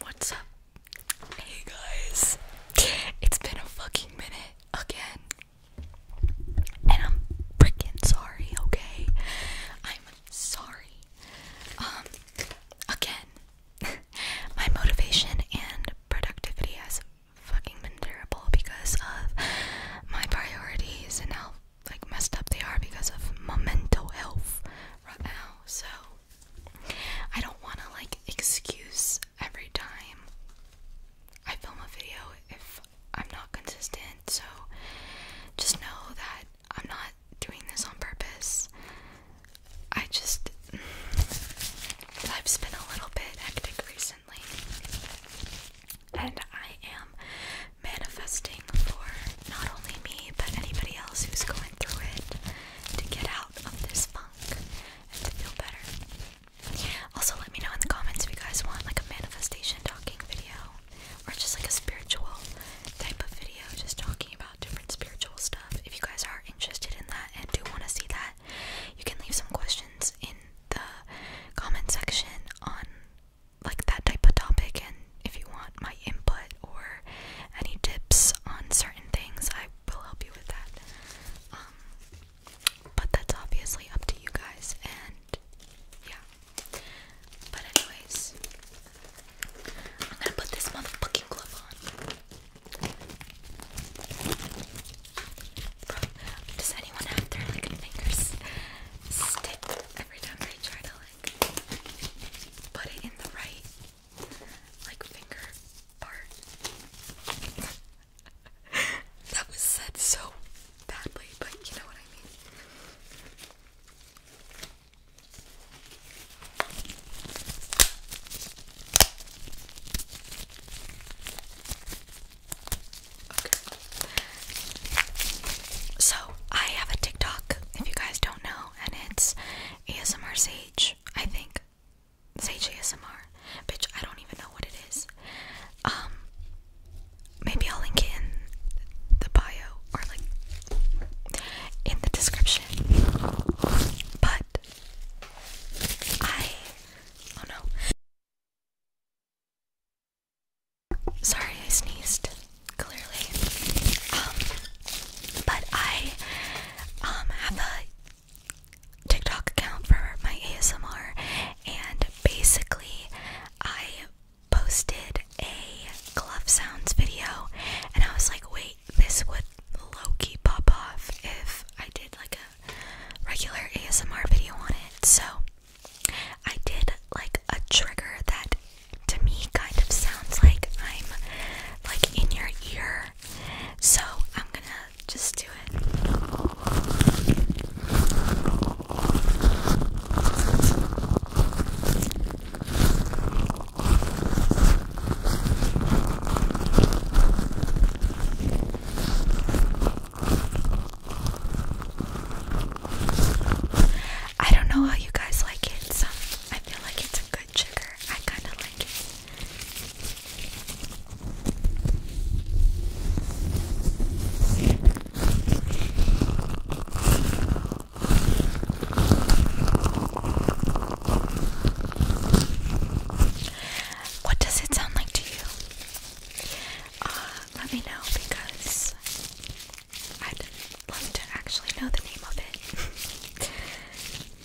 What's up? Hey guys. It's been a fucking minute again. And I'm freaking sorry, okay? I'm sorry. Um again. My motivation and productivity has fucking been terrible because of my priorities and how like messed up they are because of my mental health right now. So I don't want to like excuse every time I film a video if I'm not consistent, so just know that I'm not doing this on purpose. I just. I've been a little bit hectic recently, and I am manifesting doing for not only me but anybody else who's going through it to get out of this funk and to feel better. Also, let me know in the comments if you guys want like a manifestation talking video or just like a spiritual type of video, just talking about different spiritual stuff. If you guys are interested in that and do want to see that, you can leave some questions in the comment section on like that type of topic and if you want my input or any tips on certain things, I will help you with that. Um, but that's obviously up to you guys and yeah. But anyways, I'm gonna put this motherfucking glove on. does anyone out there like fingers stick every time I try to put it in the right like finger part. that was said so badly, but you know what I mean. So I have a TikTok, if you guys don't know, and it's ASMR Sage, I think. Sage ASMR. Bitch, I don't even know what it is. Um maybe I'll link it in the bio or like in the description. But I oh no. Sorry, I sneezed. Clearly, um, but I um, have a TikTok account for my ASMR, and basically, I posted a glove sounds video, and I was like, wait, this would low key pop off if I did like a regular ASMR video on it. So I did like a trigger that to me kind of sounds like I'm like in your ear. So I'm gonna just do it. I don't know how you guys like it. So I feel like it's a good trigger. I kind of like it. What does it sound like to you? Uh, let me know because I'd love to actually know the name of it.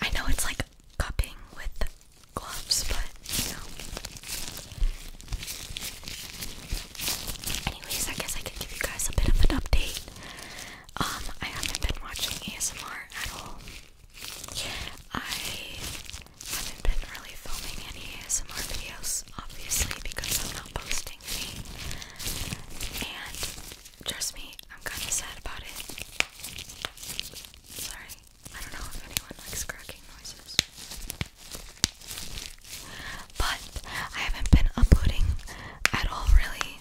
I know it's like cupping with gloves, but you know. Anyways, I guess I can give you guys a bit of an update. Um, I haven't been watching ASMR at all. I I haven't been really filming any ASMR videos, obviously, because I'm not posting me. And trust me, I'm kind of sad about it. Sorry, I don't know if anyone likes cracking noises. But I haven't been uploading at all, really.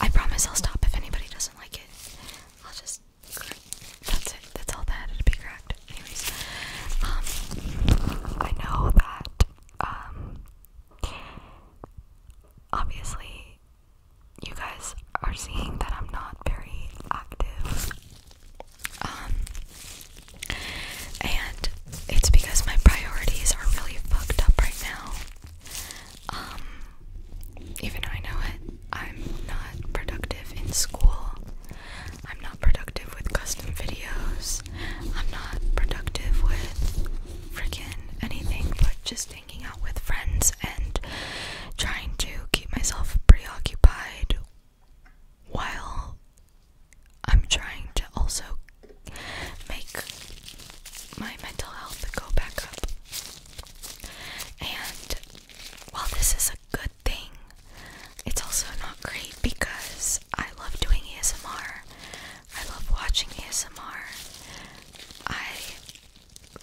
I promise I'll stop if anybody doesn't like it. I'll just that's it. That's all that had to be cracked. Anyways, um, I know that, um, obviously, you guys are seeing that I'm not very active. Um, and it's because my priorities are really fucked up right now. Um, even I know it. I'm not productive in school. I'm not productive with custom videos. I'm not productive with freaking anything but just hanging out with friends and trying to keep myself preoccupied while I'm trying to also make my mental health go back up. And while this is a good thing, it's also not great because I love doing ASMR. I love watching ASMR. I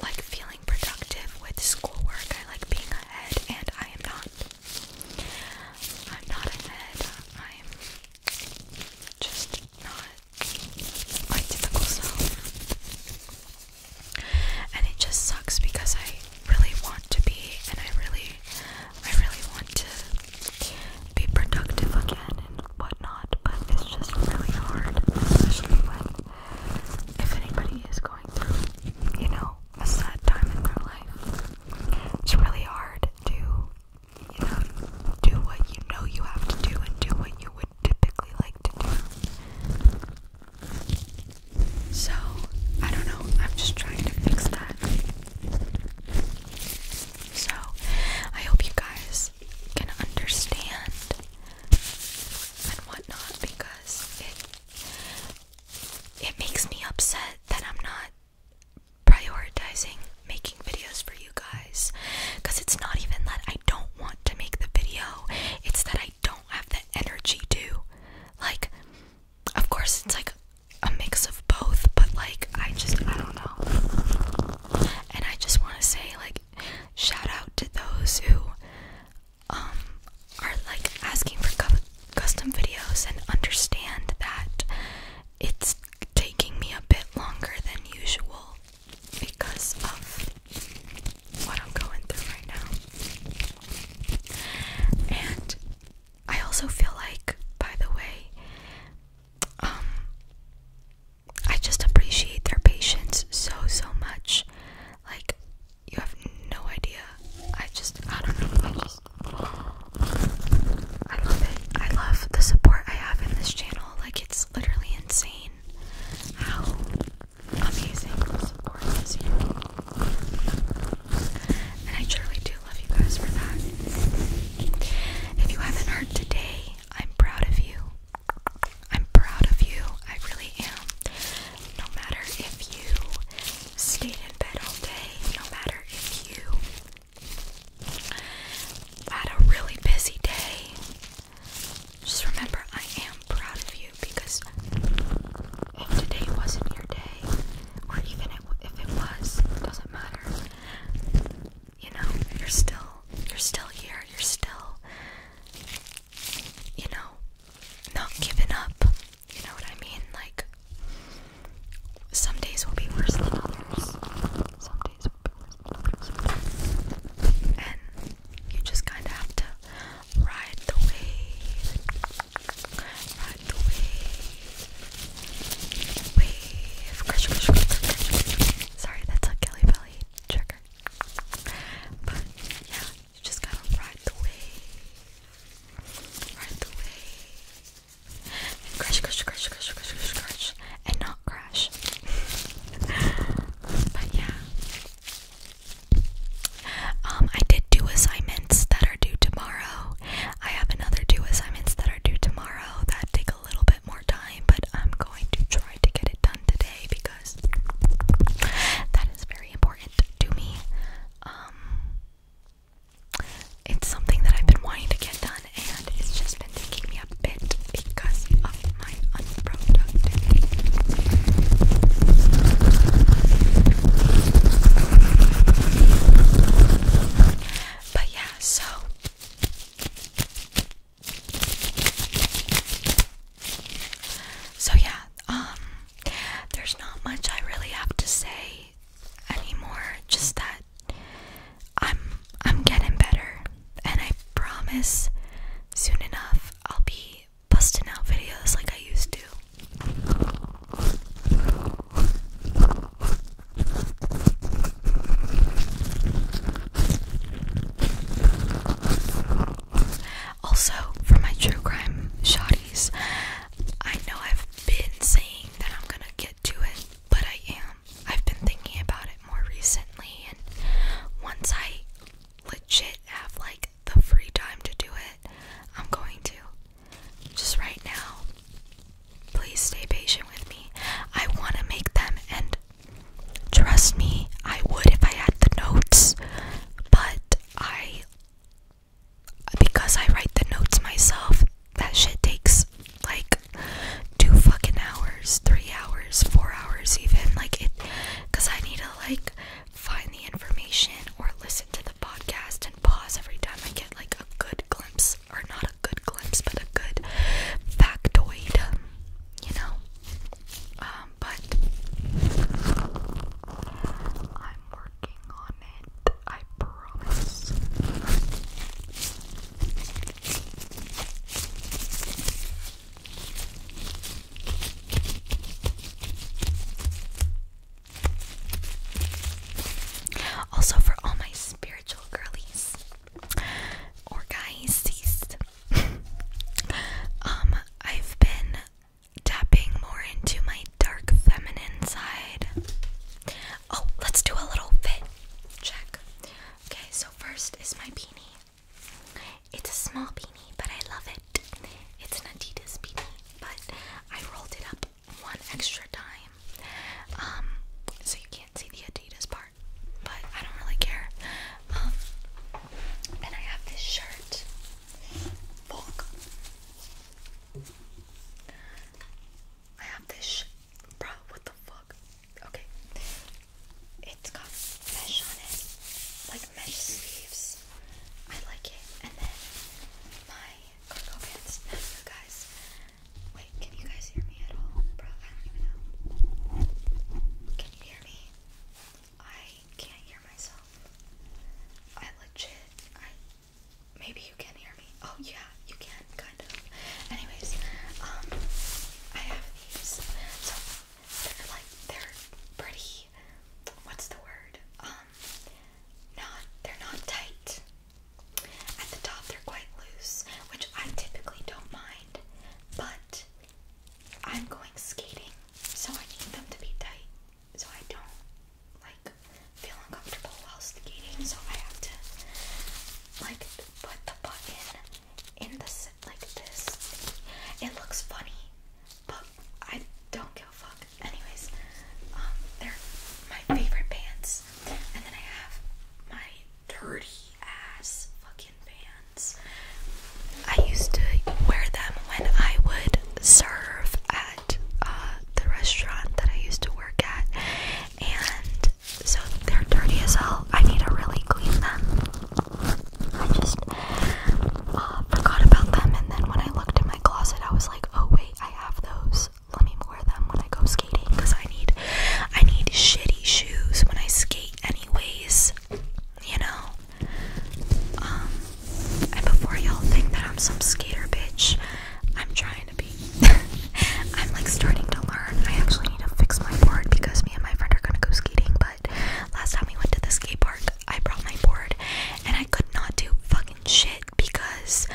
like feeling productive with schoolwork. I like being ahead, and I am not. I'm not ahead. I'm just not my typical self and it just sucks because I really want to be and I really I really want to be productive again and whatnot but it's just really hard especially when if anybody is going through you know a sad time in their life it's really hard to you know do what you know you have to do and do what you would typically like to do so, I don't know, I'm just trying to fix that. So, I hope you guys can understand and whatnot because it it makes me upset that I'm not prioritizing making videos for you guys because it's not even that I I don't want to make the video. It's that I don't have the energy to. Like, of course, it's like a mix of both, but like, I just, I don't know. And I just want to say, like, shout out to those who um, are like asking for custom videos and understand that it's taking me a bit longer than usual because of what I'm going through right now. And I also feel like, by the way, um, I just appreciate their patience so, so much. Like, you have no idea. I just, I don't know. I just, I love it. I love the support I have in this channel. Like, it's literally insane how amazing And I truly do love you guys for that. If you haven't heard today, I'm proud of you. I'm proud of you. I really am. No matter if you stayed in bed all day, no matter if you had a really busy day, just remember, I am proud of you because if today wasn't your day, or even if it was, doesn't matter. You know, you're still, you're still here. You're still, you know, not giving up. You know what I mean? Like, some days will be worse than others. Some days and you just kind of have to ride the wave, ride the wave, wave. Sorry, that's a Kelly Belly trigger. But yeah, you just gotta ride the wave, ride the wave, and crush, crush, crush, crush, crush, crush, crush, and not crash. but yeah. Um, I did do assignments that are due tomorrow. I have another two assignments that are due tomorrow that take a little bit more time, but I'm going to try to get it done today because that is very important to me. Um, it's something that I've been wanting to get done and it's just been taking me a bit because of my unproductive. But yeah, so. So yeah, um there's not much I really have to say anymore. Just that I'm I'm getting better and I promise soon enough I'll be busting out videos like I used to. Also, for my true crime shotties, I know I've been saying that I'm gonna get to it, but I am. I've been thinking about it more recently, and once I legit have like the free time to do it, I'm going to. Just right now, please stay patient with me. I want to make them, and trust me, I would if I had the notes, but I. Because I write the notes myself, that shit takes like two fucking hours, three hours, four hours, even like it because I need to like find the information or listen to the podcast and pause every time I get like a good glimpse or not a good glimpse, but a good factoid, you know. Um, but I'm working on it, I promise. Also, for all my spiritual girlies or guys, um, I've been tapping more into my dark feminine side. Oh, let's do a little fit Check. Okay, so first is my beanie. It's a small beanie, but I love it. It's an Adidas beanie, but I rolled it up one extra time. Um, so you can't see the Adidas part, but I don't really care. Um, and I have this shirt. Bulk. I have this sh what the fuck? Okay. It's got mesh on it. Like mesh sleeves. I like it. And then my cargo pants. guys. Wait, can you guys hear me at all? Bro, I don't even know. Can you hear me? I can't hear myself. I legit I Maybe you can hear me. Oh yeah, you can kind of. Anyways, um, I have these. So they're like they're pretty. What's the word? Um, not they're not tight. At the top they're quite loose, which I typically don't mind, but I'm going skating, so I need them to be tight, so I don't like feel uncomfortable while skating, so I have to like put the button in the like this. It looks funny, but I don't give a fuck. Anyways, um, they're my favorite pants, and then I have my dirty ass fucking pants. I used to wear them when I would serve at at uh, the restaurant that I used to work at, and so they're dirty as hell. I need to really clean them. I just uh, forgot about them, and then when I looked in my closet, I was like, oh wait, I have those. Let me wear them when I go skating, cause I need, I need shitty shoes when I skate, anyways. You know. Um. And before y'all think that I'm some skater bitch, I'm trying to be. I'm like starting to learn. I actually need to fix my board because me and my friend are gonna go skating. But last time we went to the skate park, I brought my board and I could not do fucking shit because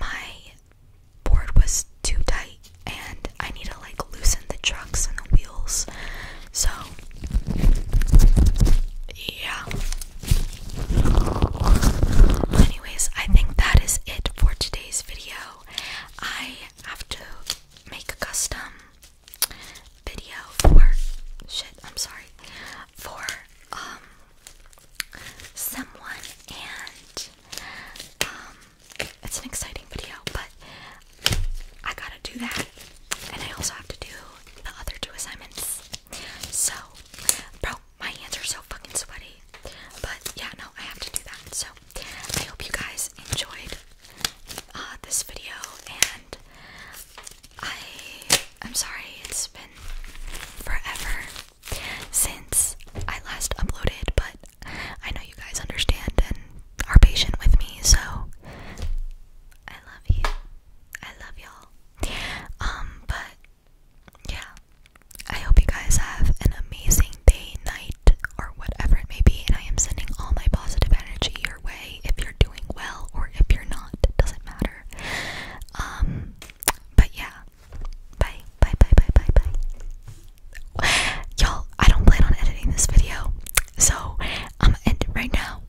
my board was too tight and I need to like loosen the trucks and the wheels. So yeah. Anyways, I think that is it for today's video. I have to make a custom video for shit, I'm sorry. For um someone and um it's an exciting video, but I gotta do that. And I also have to do the other two assignments. So Bro, my hands are so fucking sweaty. But yeah, no, I have to do that. So I hope you guys enjoyed uh, this video, and I I'm sorry it's been forever since I last uploaded, but I know you guys understand and are patient with me. So I love you. I love y'all. Um, but yeah, I hope you guys have an amazing day, night, or whatever it may be. And I am sending all my positive energy your way if you're doing well or if you're not, it doesn't matter. Um, but yeah, bye, bye, bye, bye, bye, bye. Y'all, I don't plan on editing this video, so I'm gonna end it right now.